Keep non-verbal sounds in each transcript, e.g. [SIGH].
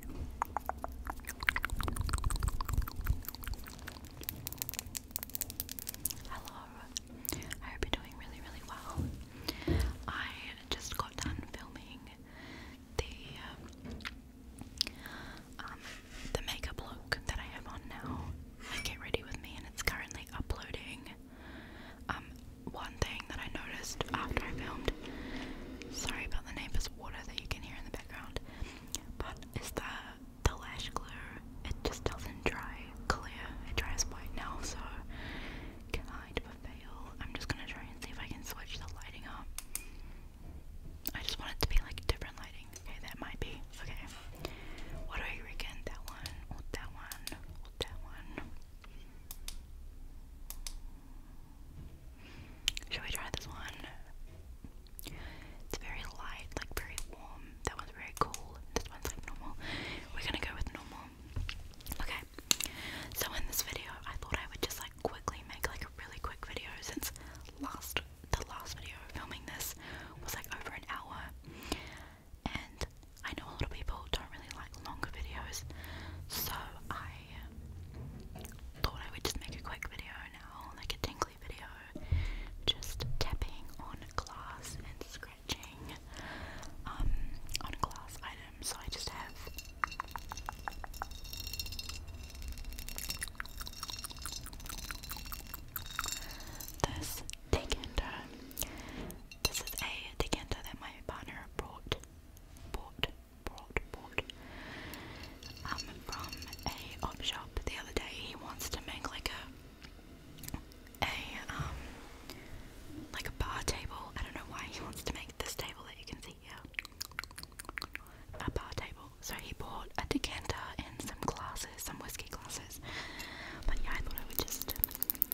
Hello, I hope you're doing really, really well. I just got done filming the um, um, the makeup look that I have on now. I get ready with me, and it's currently uploading. Um, one thing that I noticed after I filmed, sorry about the neighbors this water that you can hear in the background. But is that the lash glue? It just doesn't dry clear. It dries white now, so kind of a fail. I'm just gonna try and see if I can switch the lighting up. I just want it to be like different lighting. Okay, that might be. Okay. What do I reckon? That one, that one, that one. Should we try this one? It's very light, like very warm. That one's very cool. This one's like normal. We're gonna go with normal. Okay. So in this video, I thought I would just like quickly make like a really quick video since last the last video filming this was like over an hour, and I know a lot of people don't really like longer videos, so I I thought I would just make a quick video now, like a tingly video, just tapping on glass and scratching um, on glass items. So I just have this decanter. This is a decanter that my partner brought. Bought brought, brought. from a op shop the other day. He wants to make like a, a um, like a bar table. I don't know why he wants to make this table that you can see here. A bar table. So he bought a decanter and some glasses, some whiskey glasses. But yeah, I thought I would just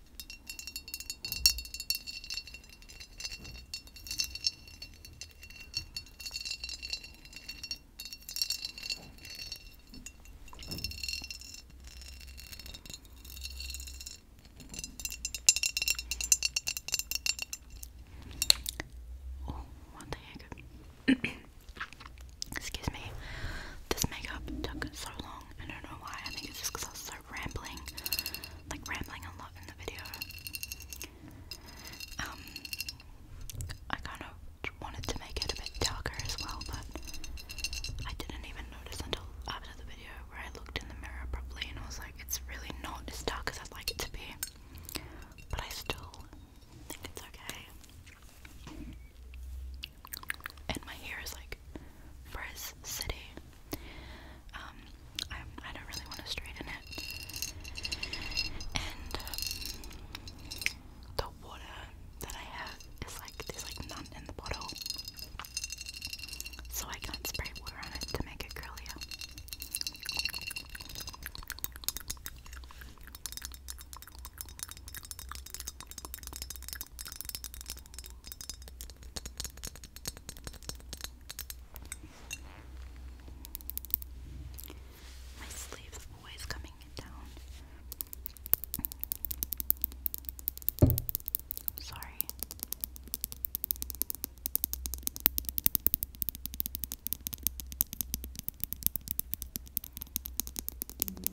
Oh, one thing [COUGHS] Excuse me. This makeup took so long. I don't know why. I think it's just because I was so start rambling, like rambling a lot in the video. Um, I kind of wanted to make it a bit darker as well, but I didn't even notice until after the video where I looked in the mirror properly and I was like, it's really not as dark as I'd like it to be, but I still think it's okay. And my hair is like frizz city. Um, I, don't really want to straighten it. And um, the water that I have is like, there's like none in the bottle. So I can't spray water on it to make it curlier. My sleeve's always coming down. Sorry. Mm -hmm.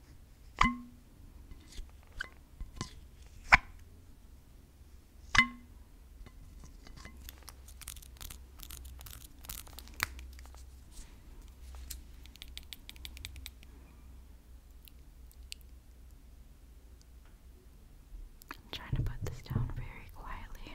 I'm trying to put this down very quietly.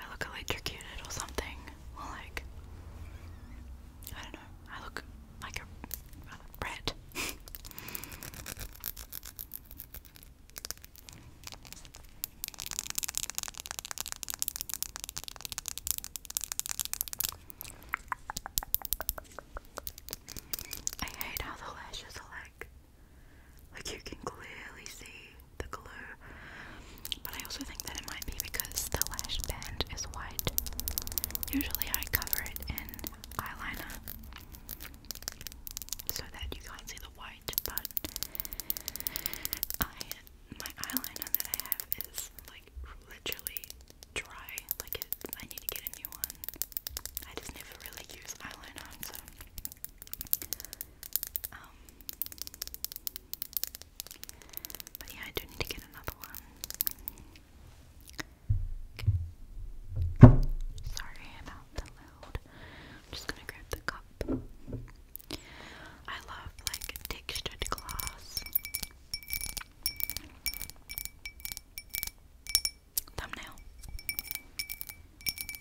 I look electrocuted or something. like, I don't know, I look like a rat. I hate how the lashes are like, like you can clearly see the glue. But I also think that it might be because the lash band is white. Usually I cover it in eyeliner so that you can't see the white, but I my eyeliner that I have is like literally dry. Like I need to get a new one. I just never really use eyeliner, so um, but yeah, I do need to get another one. Sorry about the loud. I'm just gonna grab the cup. I love like textured glass. Thumbnail.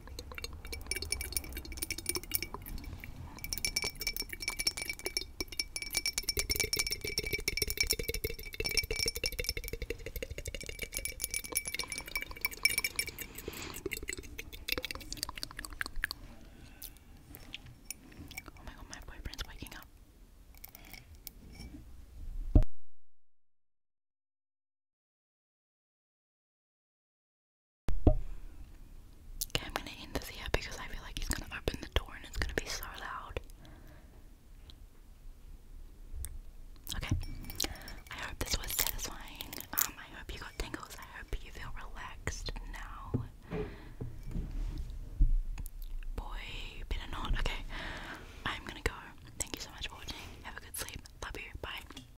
Oh my god, my boyfriend's waking up. Okay, I'm gonna end this here because I feel like he's gonna open the door and it's gonna be so loud. Okay, I hope this was satisfying. Um, I hope you got tingles. I hope you feel relaxed now. Boy, better not. Okay, I'm gonna go. Thank you so much for watching. Have a good sleep. Love you. Bye.